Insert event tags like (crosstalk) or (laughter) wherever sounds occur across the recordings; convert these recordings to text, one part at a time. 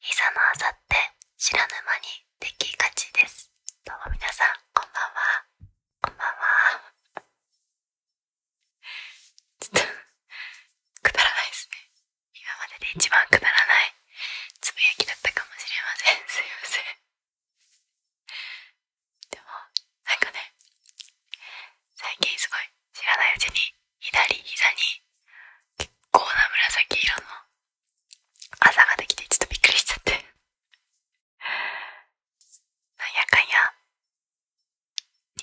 膝のあさって知らぬ間にできがちですどうもみなさんこんばんはこんばんはちょっと (laughs) くだらないですね今までで一番くだらないつぶやきだったかもしれませんすいませんでもなんかね最近すごい知らないうちに左膝に結構な紫色のあざができてちょっとびっくりしちゃってなんやかんや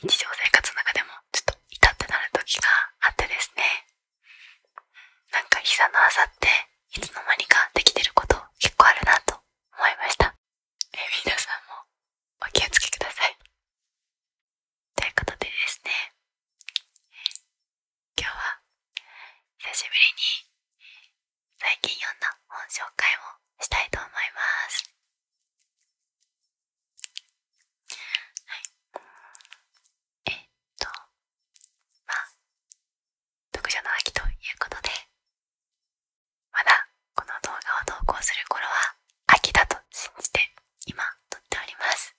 日常生活の中でもちょっと痛ってなる時があってですねなんか膝のあざっていつの間にかできてること結構あるなと思いましたえ皆さんもお気を付けくださいということでですね今日は久しぶりに最近読んだ本紹介をしたいと思いますえっとまあ読書の秋ということでまだこの動画を投稿する頃は秋だと信じて今撮っております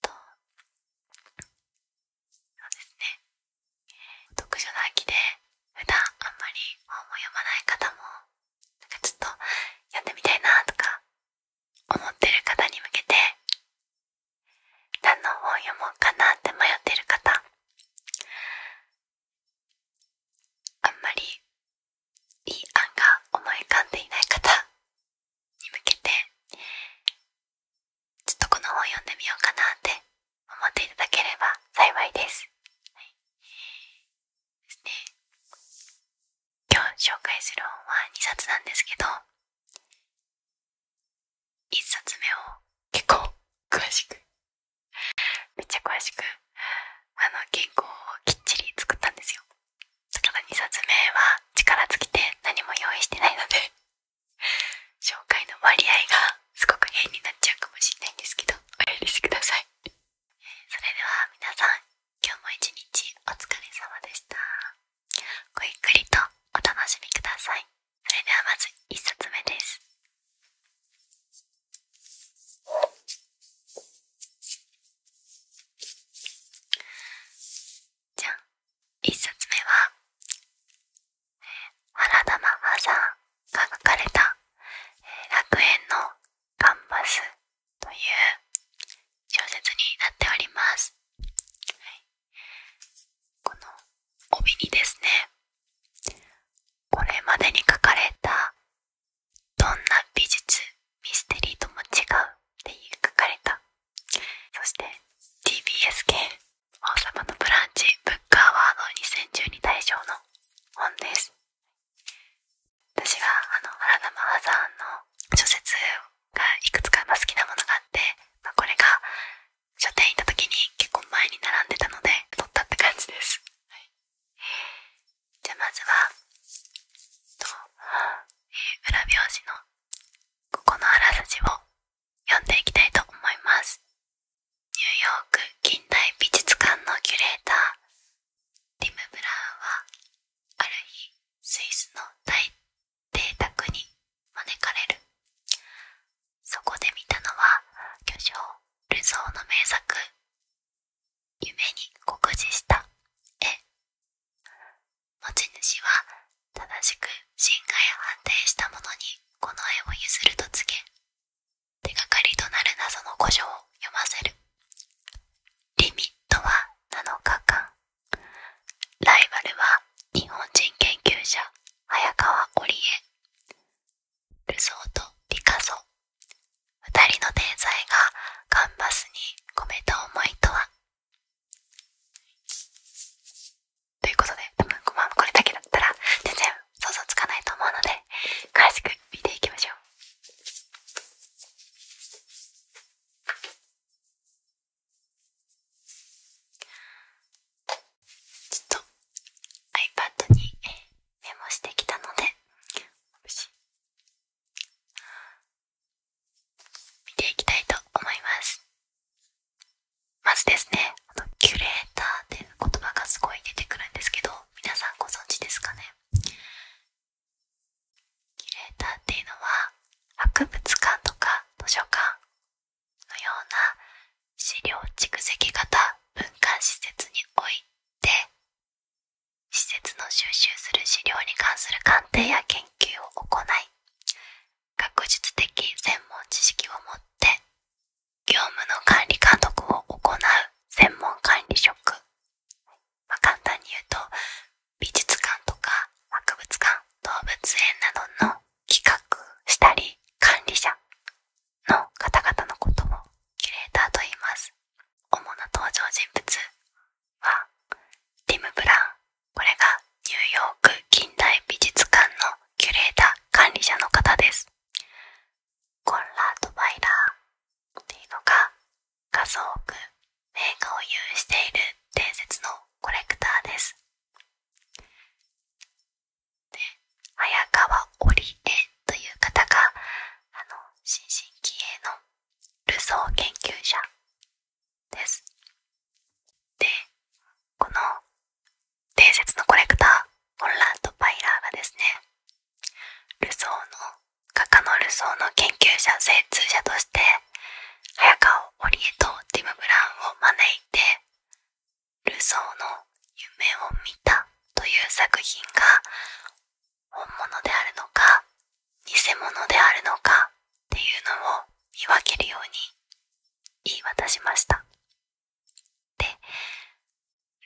とそうですね読書の秋で普段あんまり本も読まない方もなんかちょっとやってみたいなとか思ってる方に向けて何の本読もうかなって迷ってる方あんまりいい案が思い浮かんでいない方に向けてちょっとこの本読んでみようかなって思っていただければ幸いです。はい、ですね今日紹介する本は2冊なんですけど1冊目を結構詳しくめっちゃ詳しくあの原稿をきっちり作ったんですよだから2冊目は力尽きて何も用意してないので紹介の割合がすごく変になっちゃうかもしれないんですけどお許しくださいそれでは皆さん今日も一日お疲れ様でしたごゆっくりとお楽しみくださいそれではまず1冊目ですじゃあ1冊目は原田ママさんが書かれた「楽園のガンバス」という小説になっております、はい、この帯にですねこれまでに書かれたどんな美術ミステリーとも違うっていう書かれたそして TBS 系「王様のブランチブックアワード2012大賞」の本です私はあの原田マハさんの小説がいくつか好きなものがあって、まあ、これが書店行った時に結構前に並んでたので取ったって感じです、はい、じゃあまずはと、えー、裏表紙のここのあらすじを読んでいきたいと思いますニューヨーク近代美術館のキュレーターティム・ブラウンはある日スイスの大邸宅に招かれるそこで見たのは巨匠ルソの名作「夢に酷似した絵」持ち主は正しく進化や安定したものにこの絵を譲ると告げ手がかりとなる謎の古書を読ませるリミットは7日間ライバルは日本人研究者早川織江ルソーとリカソ二人の天才がカンバスに込めた思いとはということで多分まあこれだけだったら全然想像つかないと思うので詳しく見ていきましょう。ちょっと iPad にメモしてきたので見ていきたいと思いますまずですねキュレーターっていう言葉がすごい出てくるんですけど皆さんご存知ですかねキュレーターっていうのは博物館とか図書館のような資料蓄積型文化施設においで施設の収集する資料に関する鑑定や研究を行い学術的専門知識を持って業務の管理監督を行う専門管理職、まあ、簡単に言うと美術館とか博物館動物園などの企画したり管理者の方々のこともキュレーターと言います。主な登場人物はティム・ブラン。これがニューヨーク近代美術館のキュレーター管理者の方です。コンラート・バイラーっていうのが数多く名画を有している伝説のコレクターです。で早川織江という方があの新進気鋭のルソー研究者です。でこの伝説のコレクターホンランド・パイラーがですねルソーの画家のルソーの研究者精通者として早川織江とティム・ブラウンを招いてルソーの夢を見たという作品が本物であるのか偽物であるのかっていうのを見分けるように言い渡しましたで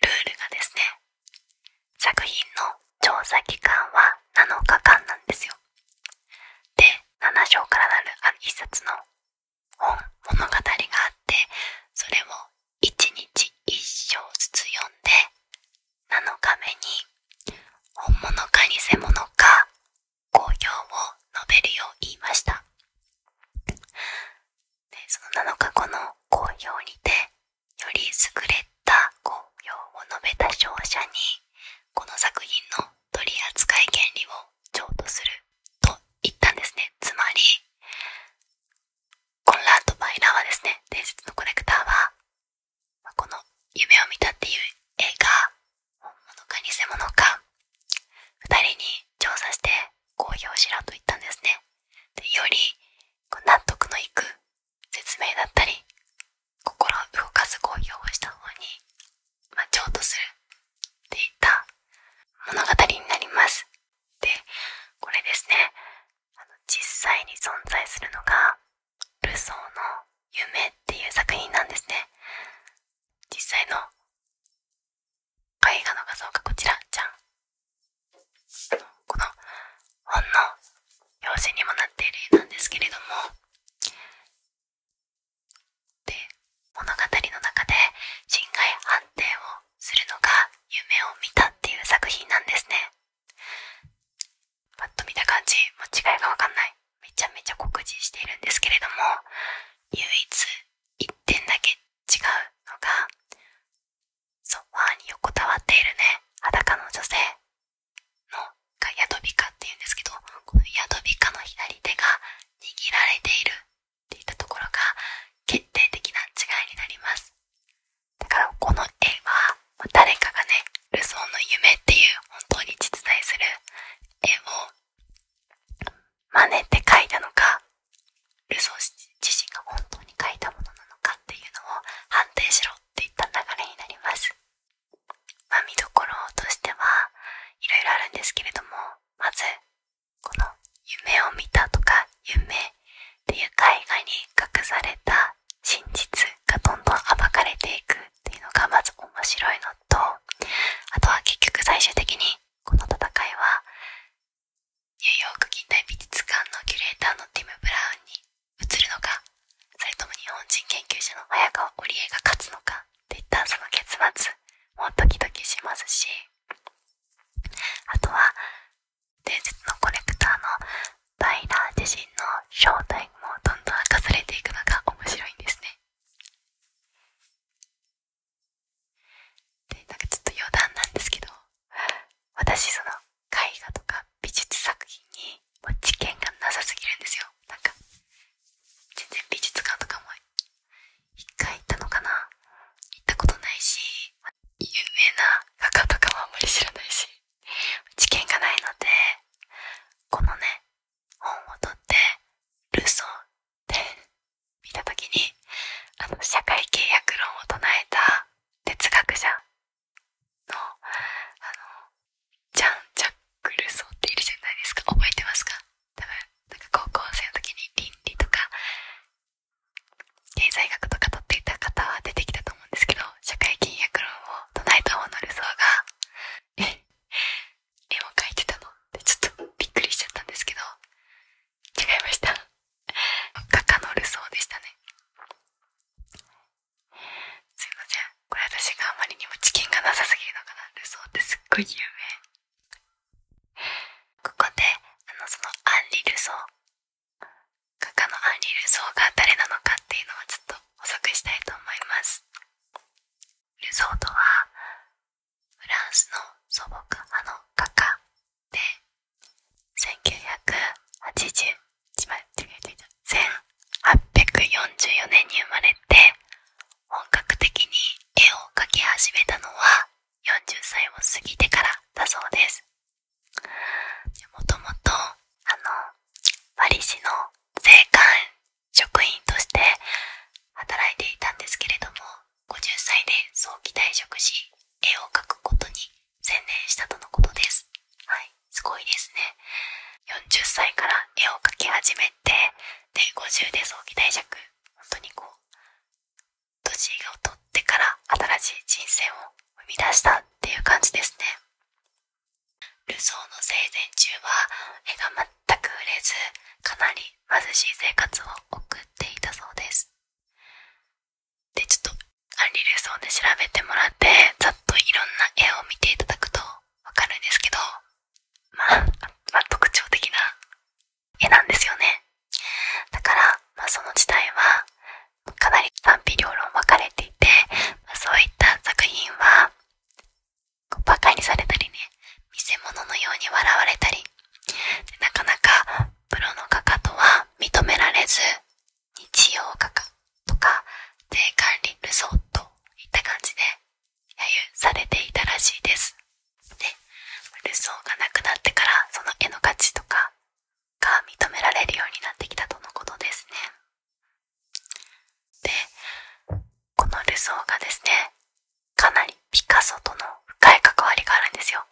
ルールがですね作品の調査期間は7日間なんですよで7章からなる1冊の本物語があってそれを1日1章ずつ読んで7日目に本物か偽物か好評を述べるよう言いましたでその7日後の好評にてより優れた好評を述べた勝者にこの作品の取り扱い原理を譲渡すると言ったんですねつまりコンラート・バイラーはですね伝説のコレクターは、この「夢を見た」っていう映画本物か偽物か2人に調査して公表しろと言ったんですねでよりこう納得のいく説明だったり心を動かす公表をした方にまあ、譲渡するっていった物語になりますでこれですねあの実際に存在するのがルソーの「夢」っていう作品なんですね実際の絵画の画像がこちらじゃんこの本の用紙にもなっている絵なんですけれどもで物語の中で侵害判定をするのが「夢を見た」っていう作品なんですねパッと見た感じも違いがわかんないめちゃめちゃ酷似しているんですけれども唯一1点だけ違うのがソファーに横たわっているね裸の女性のがヤドビカっていうんですけどこのヤドビカの左手が握られているっていったところが決定的な違いになりますだからこの絵は誰かがねルソーの夢っていう本当に実在する絵を真似て描いたのかルソー自身が本当に描いたものなのかっていうのを判定しろっていった流れになります、ま見どころとしてはいろいろあるんですけれどもまずこの夢を見たとか夢っていう絵画に隠された真実がどんどん暴かれていくっていうのがまず面白いのとあとは結局最終的にこの戦いはニューヨーク近代美術館のキュレーターのティム・ブラウンに移るのかそれとも日本人研究者の綾川織江が勝つのかっていったその結末もうドキドキしますしあとは伝説のコレクターのバイラー自身の正体もどんどん明かされていくのが面白いんですね。でなんかちょっと余談なんですけど私その絵画とか美術作品にもう知見がなさすぎるんですよなか全然美術館とかも一回行ったのかな行ったことないし有名な画家とかもあんまり知らないし知見がないのでこのね本を取ってルソーって見た時にあの社会契約論を唱えた哲学者のあのジャン・ジャック・ルソーっているじゃないですか覚えてますか多分んか高校生の時に倫理とか経済学とか取っていた方は出てきたと思うんですけど社会金約論を唱えた方の理想がえ絵も描いてたのってちょっとびっくりしちゃったんですけど違いました画家のルソーでしたねすいませんこれ私があまりにも知見がなさすぎるのかなルソーってすっごい有名ここであのそのアンリ・ルソー画家のアンリ・ルソーが誰なのかっていうのをちょっと補足したいと思いますルソーとはフランスの祖母があの画家で1980 1844年に生まれて本格的に絵を描き始めたのは40歳を過ぎてからだそうですもともとあのパリ市の税関職員として働いていたんですけれども50歳で早期退職し絵を描くことに専念したとのことですすごいですね40歳から絵を描き始めてで50で早期退職本当にこう年を取ってから新しい人生を生み出したっていう感じですねルソーの生前中は絵が全く売れずかなり貧しい生活を送っていたそうですでちょっとアンリ・ルソーで調べてもらってざっといろんな絵を見ていただくと分かるんですけどまあ、特徴的な絵なんですよねだから、まその時代はかなり賛否両論分かれていて、まそういった作品はバカにされたりね見せ物のように笑われたりなかなかプロの画家とは認められず日曜画家とか税管理ルソーといった感じで揶揄されていたらしいです。でルソーが亡くなってからその絵の価値とかが認められるようになってきたとのことですね。でこのルソーがですねかなりピカソとの深い関わりがあるんですよ。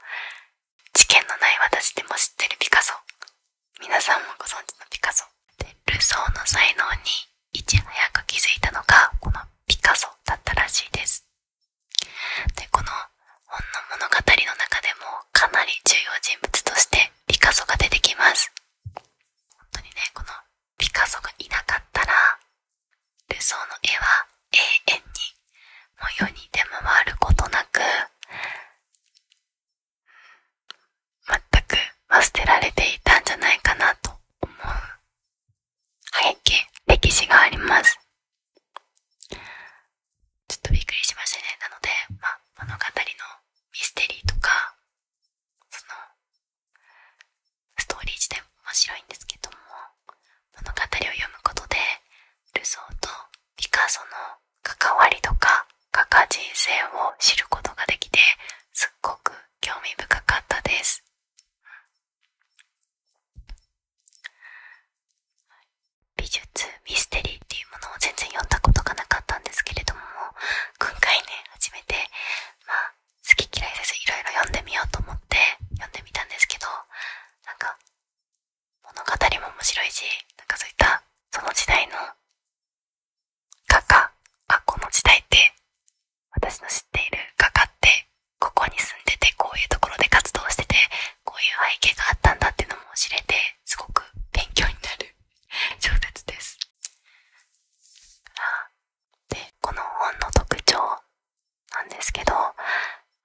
知見のない私でも知ってるピカソ皆さんもご存知のピカソでルソーの才能にいち早く気づいたのがこのピカソだったらしいですでこの本の物語の中でもかなり重要人物としてピカソが出てきます本当にねこのピカソがいなかったらルソーの絵は永遠にもう世に出回ることなく全く捨てられていたんじゃないかなと思う背景歴史がありますちょっとびっくりしましたねなので、ま物語のミステリーとかそのストーリー自体も面白いんですけども物語を読むことでルソーとピカソの関わりとか画家人生を知ることができてすっごく興味深かったです美術ミステリーっていうものを全然読んだことがなかったんですけれども今回ね初めてまあ好き嫌いせずいろいろ読んでみようと思って読んでみたんですけどなんか物語も面白いしなんかそういったその時代の画家あこの時代って私の知っている画家ってここに住んでてこういうところで活動しててこういう背景があったんだっていうのも知れてすごく勉強になる小説です。でこの本の特徴なんですけど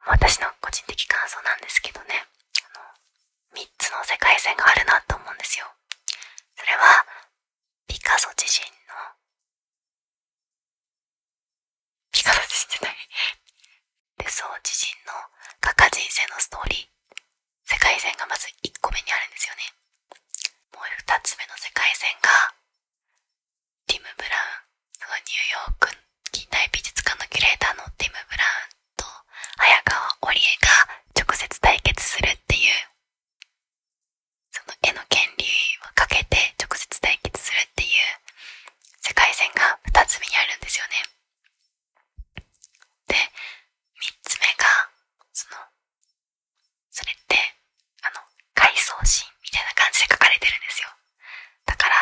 私の個人的感想なんですけどねあ3つの世界線があるなと思うんですよ。それはピカソ自身のピカソ自身じゃないでそう自身の画家人生のストーリー世界線がまず1個目にあるんですよねもう2つ目の世界線がティム・ブラウンそのニューヨーク近代美術館のキュレーターのティム・ブラウンと早川織江が直接対決するっていうその絵の権利をかけて直接対決するっていう世界線が2つ目にあるんですよねで3つ目がそのそれってあの回想シーンみたいな感じで書かれてるんですよだから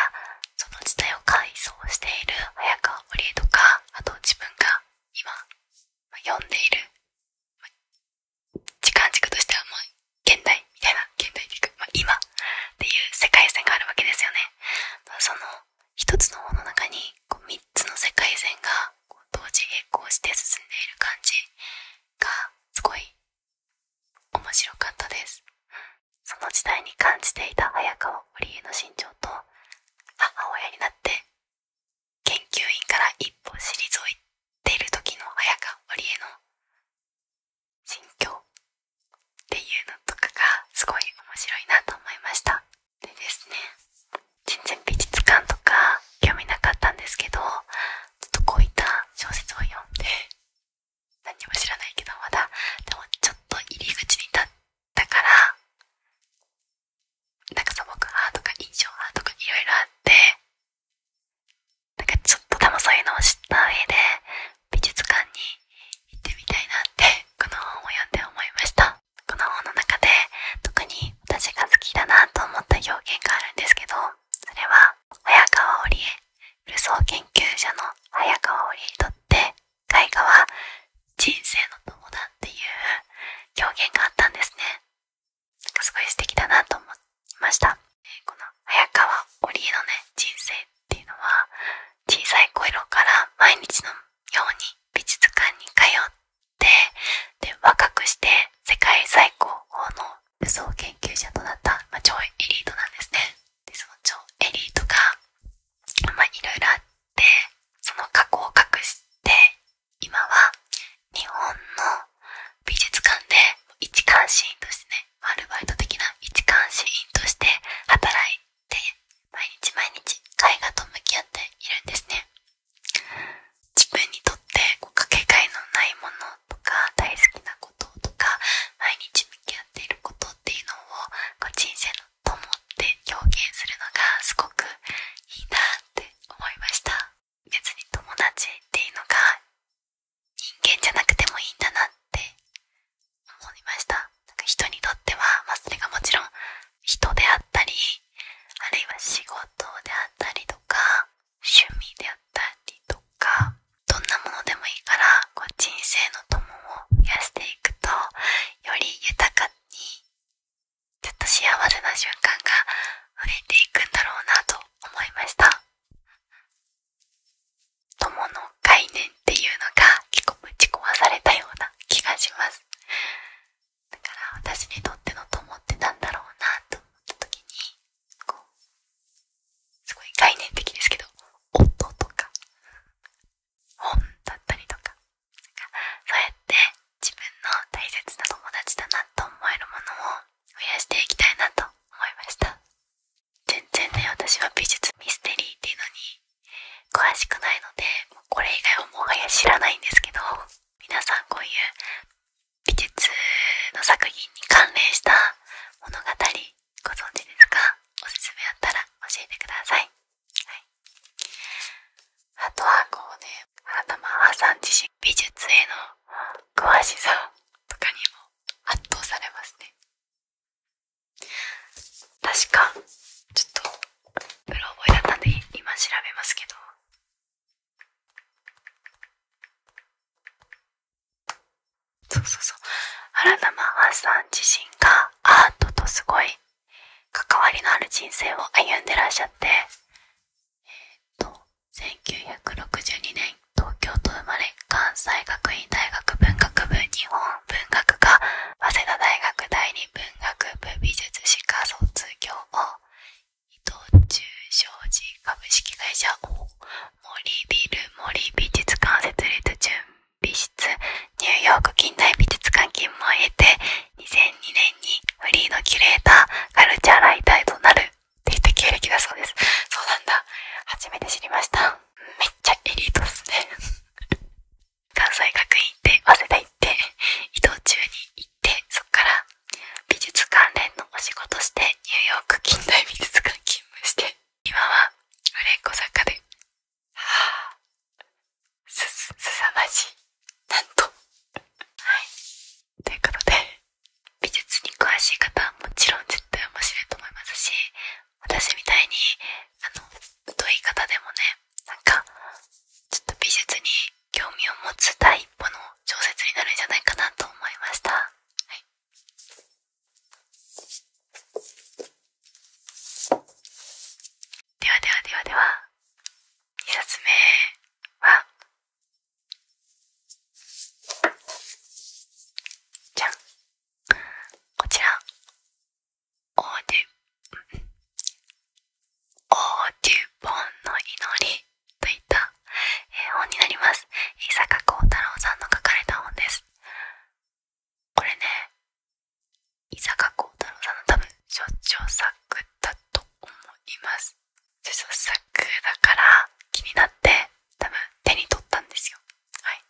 その時代を回想している早川織江とかあと自分が今、ま読んでいる、時間軸としてはもう現代みたいな現代軸、ま今っていう世界線があるわけですよね。その一つのものの中にこう3つの世界線がこう同時並行して進んでいる感じがすごい面白かったです、その時代に感じていた早川織江の身長と母親になって研究員から一歩退いている時の早香織江の心境っていうのとかがすごい面白いなと思いましたでですね全然美術館とか興味なかったんですけどちょっとこういった小説を読んで何も知らないけどまだでもちょっと入り口に立ったからなんか素朴派とか印象派とかいろいろあってなんかちょっと多分そういうのを知った上で美術館に行ってみたいなって (laughs) この本を読んで思いましたこの本の中で特に私が好きだなと思った表現があるんですけどそれは早川織江ルソー研究者の早川織江にとって絵画は人生の友だっていう表現があったんですねなかすごい素敵だなと思いましたこの早川織江のね人生っていうのは小さい頃から毎日のように美術館に通ってで若くして世界最高峰の武装研究者となった、まあ、超エリートなんですねでその超エリートがまあいろいろあってその過去を隠して今は日本の美術館で一監視員としてねアルバイト的な一監視員として働いで毎日毎日絵画と向き合っているんですね自分にとってこうかけがえのないものとか大好きなこととか毎日向き合っていることっていうのをこう人生のと思って表現するのがすごくいいなって思いました別に友達っていうのが人間じゃなくてもいいんだなって思いましたなんか人にとっては、まそれがもちろん人であったりあるいは仕事であったりとか趣味であったりとかどんなものでもいいからこう人生の友を増やしていくとより豊かにちょっと幸せな瞬間が増えていくんだろうなと思いました友の概念っていうのが結構ぶち壊されたような気がしますだから私にとっての友ってなんだろうなと思った時にこうすごい概念的ですけど音とか本だったりとかそうやって自分の大切な友達だなと思えるものを増やしていきたいなと思いました全然ね私は美術ミステリーっていうのに詳しくないのでこれ以外はもはや知らないんですけど皆さんこういう美術の作品に関連した物語ご存知ですかおすすめあったら教えてください、あとはこうね花間さん自身美術への詳しさとかにも圧倒されますね確かちょっとプロ覚えだったんで今調べますけどそうそうそう原田真麻さん自身がアートとすごい関わりのある人生を歩んでらっしゃってえっ、ー、と1962年東京都生まれ関西学院大学文学部日本文学科早稲田大学第二文学部美術史科卒業を伊藤忠商事株式会社を森ビル森美術館設立準備室ニューヨーク近代美術館勤務を得て2002年にフリーのキュレーターカルチャーライターとなるっていった経歴だそうですそうなんだ初めて知りましためっちゃエリートっすね関西学院行って早稲田行って移動中に行ってそっから美術関連のお仕事してニューヨーク近代美術館勤務して今は売れっ子作家ではあすすさまじいなんとはいということで美術に詳しい方はもちろん絶対面白いと思いますし私みたいにあの疎い方でもねなんかちょっと美術に興味を持つ第一歩の小説になるんじゃないかなと思いました、はい、ではではではでは2冊目はじゃんこちらオーデュ、オデュボンの祈りといった、え本になります。伊坂幸太郎さんの書かれた本です。これね、伊坂幸太郎さんの多分、所長作だと思います。所長作だから気になって、多分手に取ったんですよ。はい。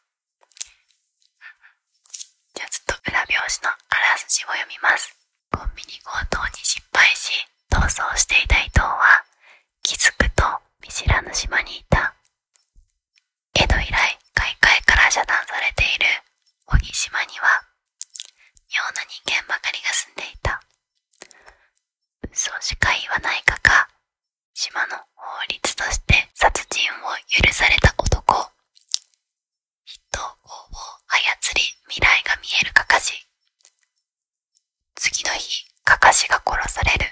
じゃあちょっと裏表紙のあらすじを読みますコンビニ強盗に失敗し逃走していた伊藤は気づくと見知らぬ島にいた江戸以来外界から遮断されている鬼島には妙な人間ばかりが住んでいたそうしか言わないかが島の法律として殺人を許された男人を操り未来が見えるかかし次の日かかしが殺される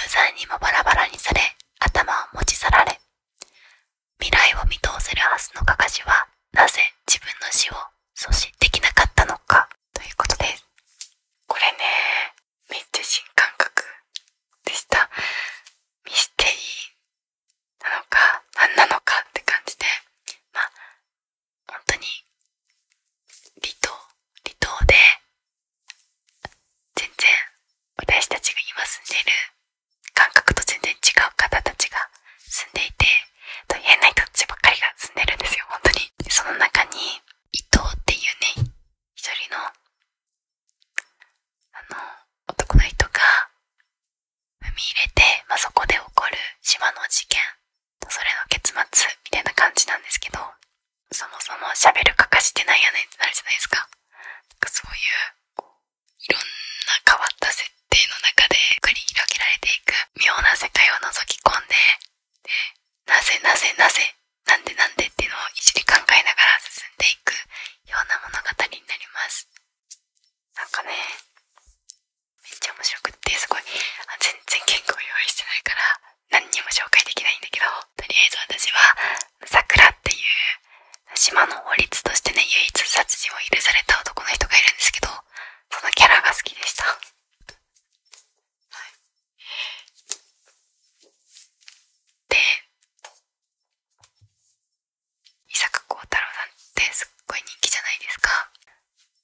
無罪にもバラバラにされ頭を持ち去られ未来を見通せるはずのかかしはなぜ自分の死を阻止できなかったのかということですこれねめっちゃ新感覚でしたミステリーなのか何なのかって感じでまあ本当に離島離島で全然私たちが今住んでいる感覚と全然違う方たちが住んでいて変な人たちばっかりが住んでるんですよ本当にその中に伊藤っていうね一人のあの、男の人が踏み入れて、まそこで起こる島の事件それの結末みたいな感じなんですけど、そもそも喋るかかしてないやねんってなるじゃないですか。なんかそういう、いろんな変わった設定の中で繰り広げられていく妙な世界を覗き込んで、で、なぜなぜなぜ、なんでなんでっていうのをいじり考えながら進んでいくような物語になりますなんかねめっちゃ面白くってすごいあ全然原稿用意してないから何にも紹介できないんだけどとりあえず私は桜っていう島の法律としてね唯一殺人を許された男の人がいるんですけどそのキャラが好きでしたはいで伊坂幸太郎さんってすっごい人気じゃないですか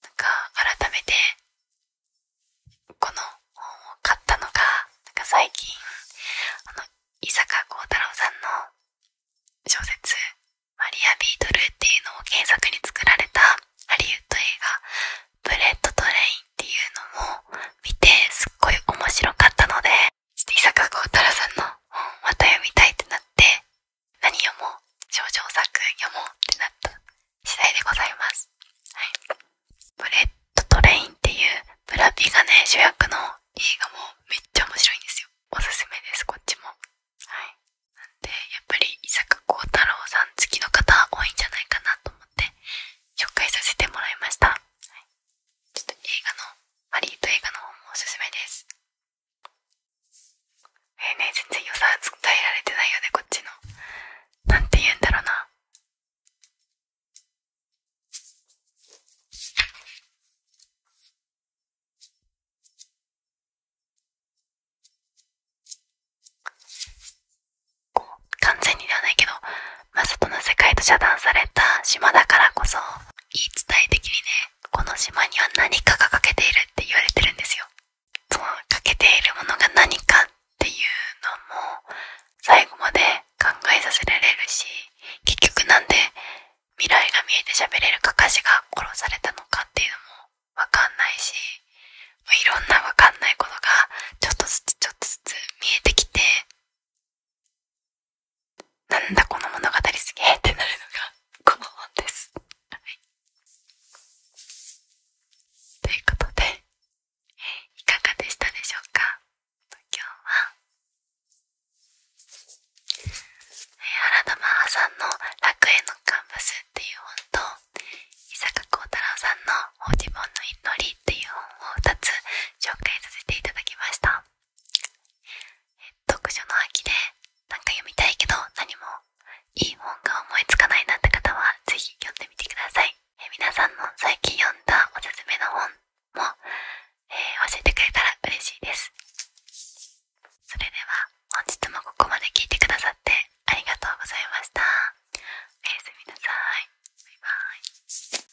なんか改めてこの本を買ったのがなんか最近あの伊坂幸太郎さんの小説「マリア・ビートル」っていうのを原作に作られたハリウッド映画「ブレッド・トレイン」っていうのも見てすっごい面白かったので伊坂幸太郎さんの本また読みたいってなって何読もう少女作読もうってなった次第でございますブレッドトレインっていうブラピがね主役の映画もめっちゃ面白いんですよおすすめですこっちもなんでやっぱり伊坂幸太郎さん好きの方多いんじゃないかなと思って紹介させてもらいました、はい、ちょっと映画のハリウッ映画の方もおすすめですえー、ね全然良さ伝えられてないよねこっちのなんて言うんだろうなこう完全にではないけどまあ、外の世界と遮断された島だからこそ言い伝え的にねこの島には何かが欠けているって言われてるんですよその欠けているものが何かっていうのも最後まで考えさせられるし結局何で未来が見えて喋れるか歌詞が殺されたのかっていうのもわかんないしいろんなわかんないことがちょっとずつちょっとずつ見えてきてなんだこの物語すげえってなるのがこの本です。はい、ということで、いかがでしたでしょうか今日は、原田真帆さんの楽園のカンバスっていう本と、伊坂幸太郎さんの「お自分の祈り」っていう本を2つ紹介させていただきました読書の秋でなんか読みたいけど何もいい本が思いつかないなって方は是非読んでみてくださいえ皆さんの最近読んだおすすめの本も、え教えてくれたら嬉しいですそれでは本日もここまで聞いてくださってありがとうございましたおやすみなさいバイバイ